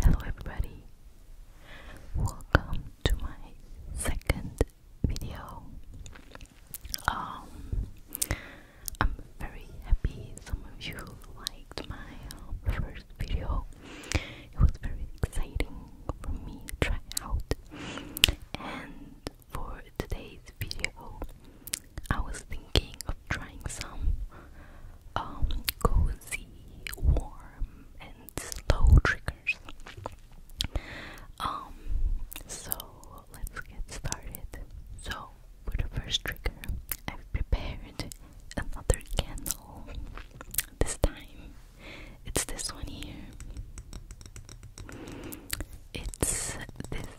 Hello, everybody, welcome to my second video. Um, I'm very happy some of you liked my uh, first video, it was very exciting for me to try out. And for today's video, I was thinking of trying some um, cozy, warm, and slow triggers. Um, so let's get started. So for the first trigger, I've prepared another candle. This time, it's this one here. It's this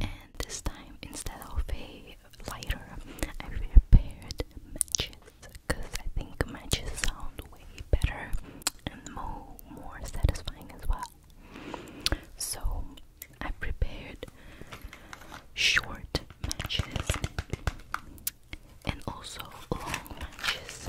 And this time, instead of a lighter, I prepared matches because I think matches sound way better and more, more satisfying as well. So I prepared short matches and also long matches.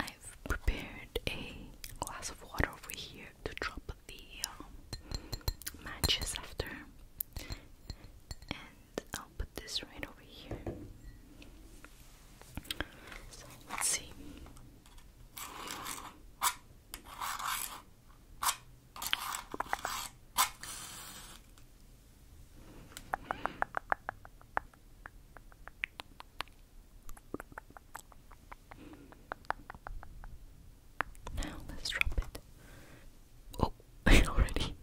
I've prepared a glass of water over here to drop the um, matches after and I'll put this right over here so let's see now let's drop it. Oh, already.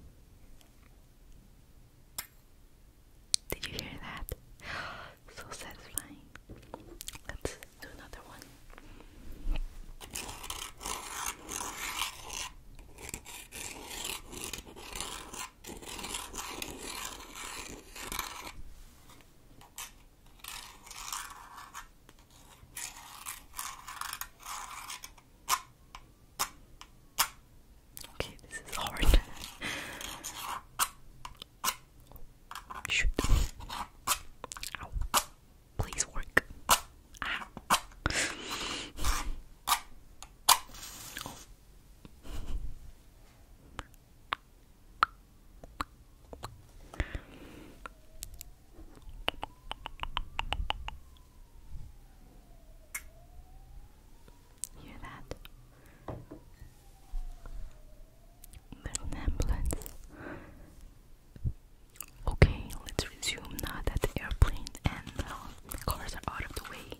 Did you hear that? So satisfying. Let's do another one. Okay, this is hard. Shoot. Ow. Please work. Ow. Hear that? There's ambulance. Okay, let's resume now that the airplane and uh, cars are out of the way.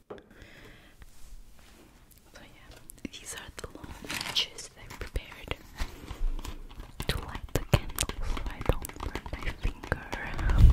So yeah, these are the long matches that I prepared to light the candle so I my finger.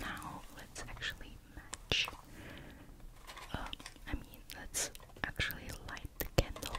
Now let's actually match. Um, I mean, let's actually light the candle.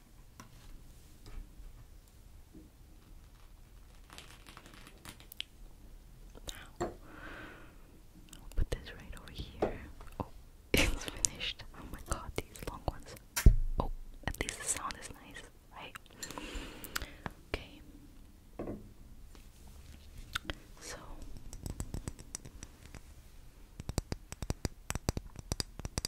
Now, I'll put this right over here. Oh, it's finished. Oh my god, these long ones. Oh, at least the sound is nice, right? Okay. So.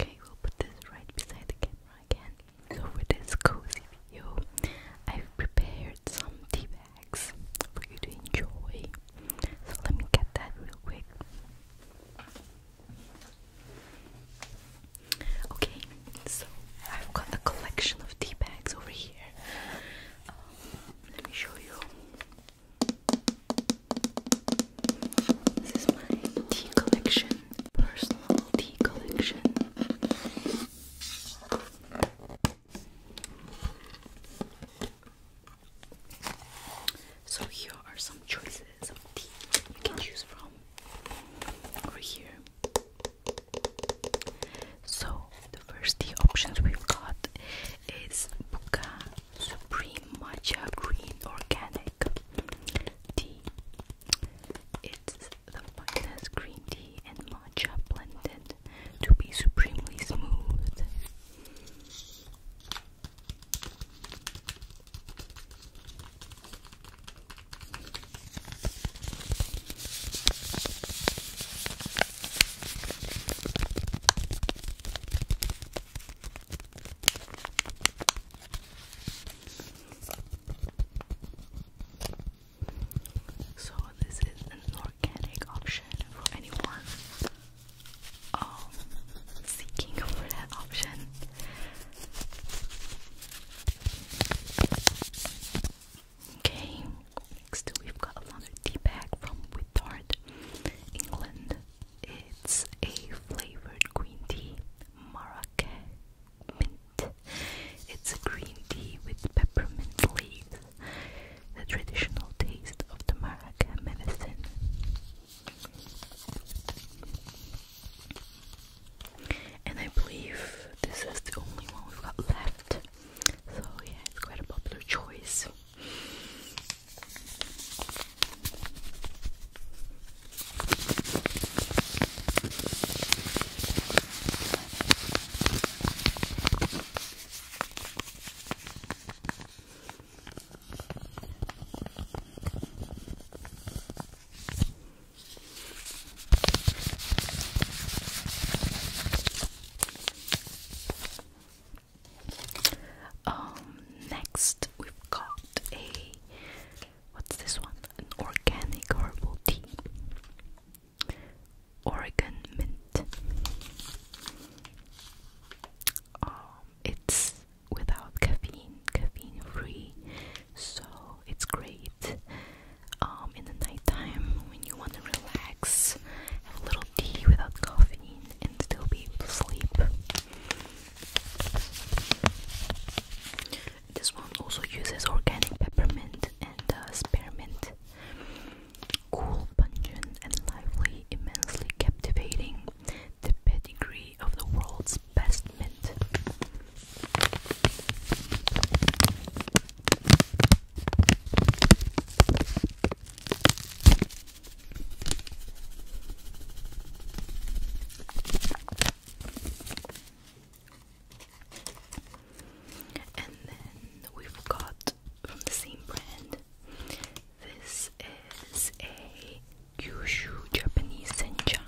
Okay, we'll put this right beside the camera again. So for this cozy video, I've prepared some tea bags for you to enjoy. So let me get that real quick. Okay, so I've got a collection of tea bags over here. Let me show you. This is my tea collection, personal tea collection. So here are some choices of tea you can choose from. Over here, so the first tea options we've got is Buka Supreme Matcha Green Organic Tea. It's the finest green tea and matcha blended to be supremely smooth. So this is an organic option for anyone um seeking for that option. Okay, next we've got another tea bag from Withard, England. It's a flavored green tea, Marrakech mint. It's a green tea with peppermint leaves, the traditional taste of the Marrakech medicine. And I believe this is the only one we've got left. So yeah, it's quite a popular choice. Um, next we've got a what's this one? organic herbal tea. Oregon mint. Um, it's without caffeine, caffeine free, so it's great um, in the nighttime when you want to relax, have a little tea without caffeine, and still be able to sleep. This one also uses organic peppermint and uh, spearmint. Cool, pungent, and lively, immensely captivating. The pedigree of the world's best mint. And then we've got from the same brand. This is a Kyushu Japanese sencha.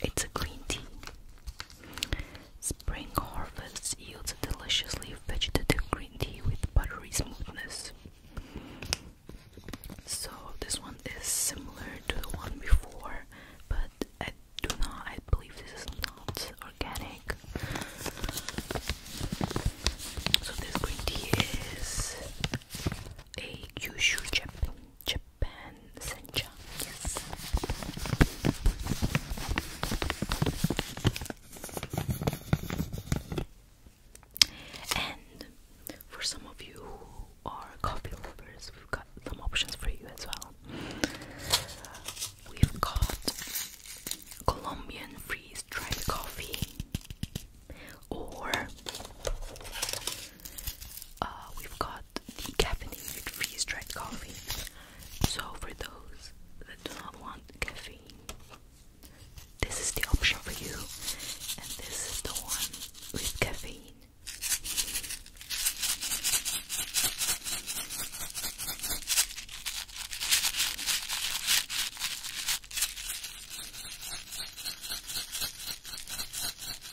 It's a green tea. Spring harvest yields a deliciously vegetative green tea with buttery smoothness. So this one is similar to the one before, but I do not. I believe this is not organic. So this green tea is a Kyushu Japan and Yes. And for some of you who are coffee lovers, we've got some options for you as well. We've got Colombian freeze dried coffee, or uh, we've got decaffeinated freeze dried coffee. So, for those that do not want caffeine, this is the option for you, and this is the one with caffeine.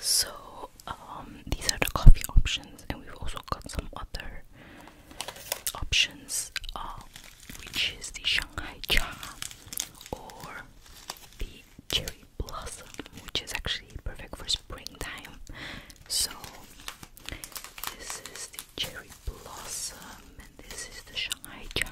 So, um, these are the coffee options, and we've also got some other options. Um, which is the Shanghai Cha or the cherry blossom, which is actually perfect for springtime. So, this is the cherry blossom, and this is the Shanghai Chai.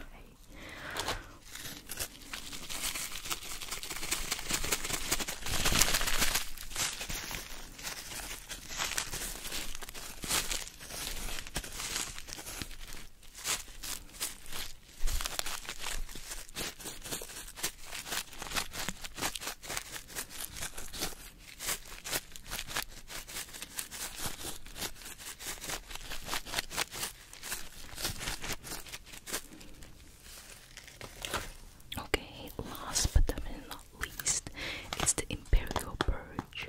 Okay, last but definitely not least, it's the imperial purge.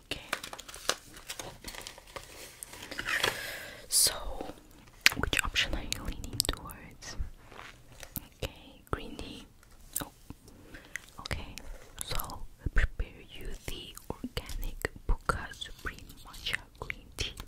Okay. So, which option are you leaning towards? Okay, green tea. Oh, okay. So, prepare you the organic Buka Supreme Matcha Green Tea.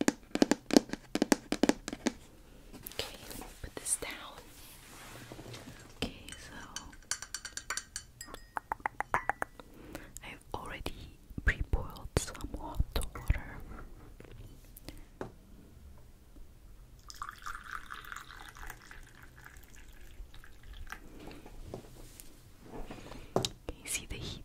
Okay, let me put this down. Okay, so I've already pre boiled some hot water. Can you see the heat?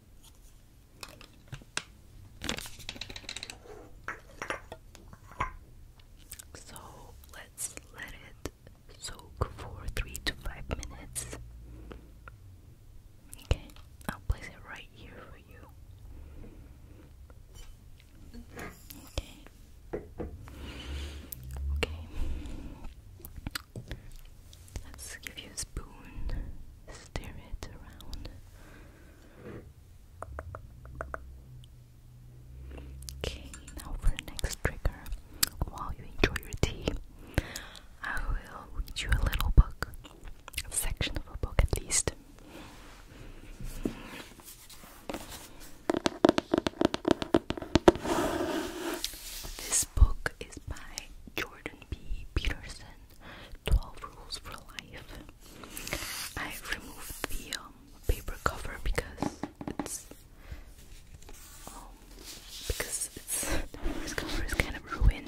so let's let it soak for three to five minutes. Okay, I'll place it right here for you. Okay. Okay. Let's give you a spoon. Stir it around. Okay, now for the next trigger. While you enjoy your tea, I will read you a little book, a section of a book at least. This book is by Jordan B. Peterson 12 Rules for Life. I removed the um, paper cover because it's. Um, because the first cover is kind of ruined.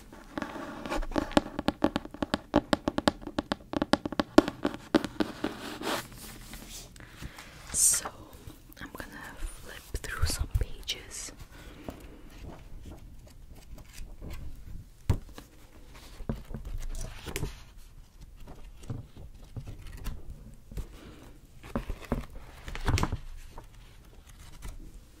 So I'm gonna flip through some pages.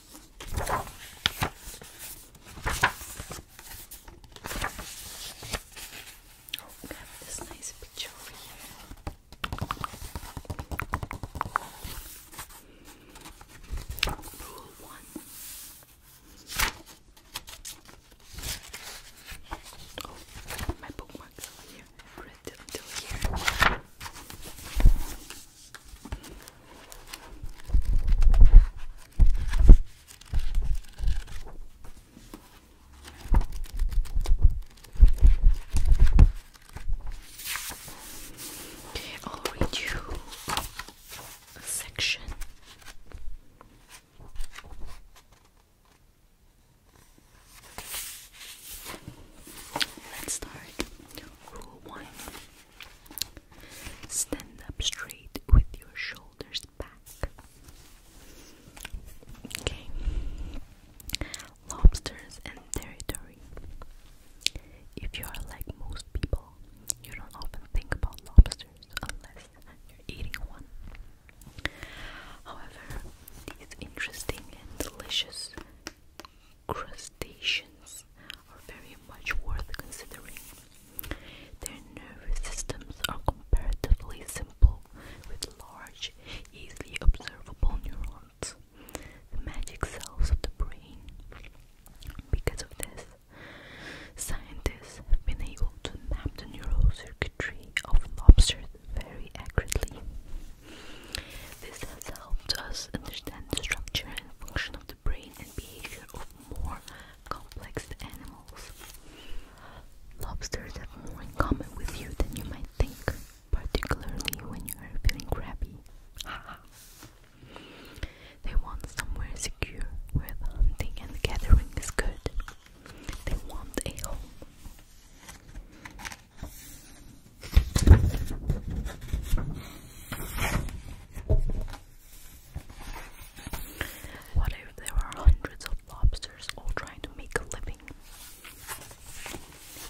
we have this nice picture over here. Rule one. Oh, my bookmarks over here. I've here. I'll read you a section. Let's start one. Stand up straight with your shoulders back. Okay. Lobsters and territory. If you are like most people, you don't often think about lobsters unless you're eating one. However, these interesting and delicious Crustaceans are very much worth considering. Their nervous systems are comparatively simple, with large, easily observable neurons, the magic cells of the brain. Because of this, scientists have been able to map the neural circuitry of lobsters very accurately. This has helped us understand the structure and function of the brain behavior of more complex animals. Lobsters have more in common with you than you might think, particularly when you are feeling crabby. they want somewhere secure where the hunting and gathering is good. They want a home. What if there are hundreds of lobsters all trying to make a living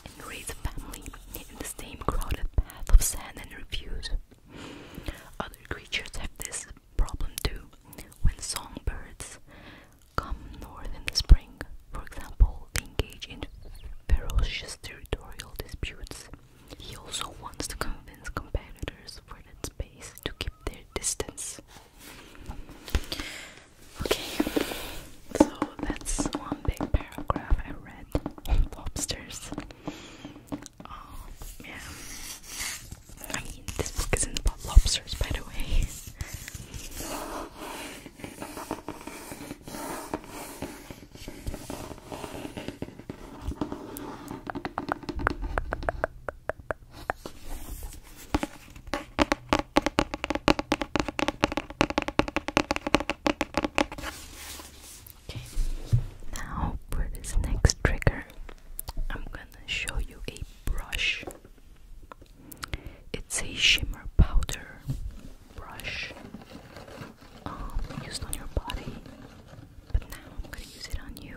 and raise a family in the same crowded path of sand and refuse? Other creatures have this problem too. When songbirds come north in the spring, for example, they engage in ferocious territorial disputes he also wants to convince competitors for that space to keep their distance. Okay, so that's one big paragraph I read lobsters. Um, yeah. I mean, this book is about lobsters, by the way now for this next trigger, I'm gonna show you a brush. It's a shimmer powder brush um, used on your body, but now I'm gonna use it on you.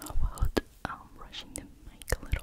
How about um, brushing the mic a little?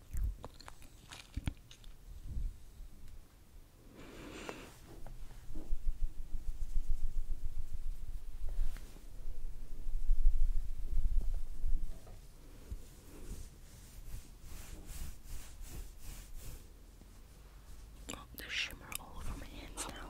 Oh, there's shimmer all over my hands now.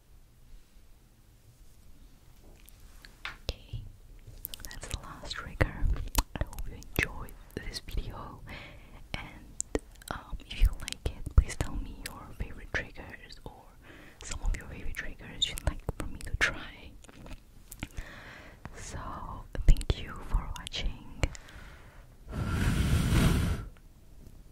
Okay, that's the last trigger. I hope you enjoyed this video, and um, if you like it, please tell me your favorite triggers or some of your favorite triggers you'd like for me to try. So, thank you for watching.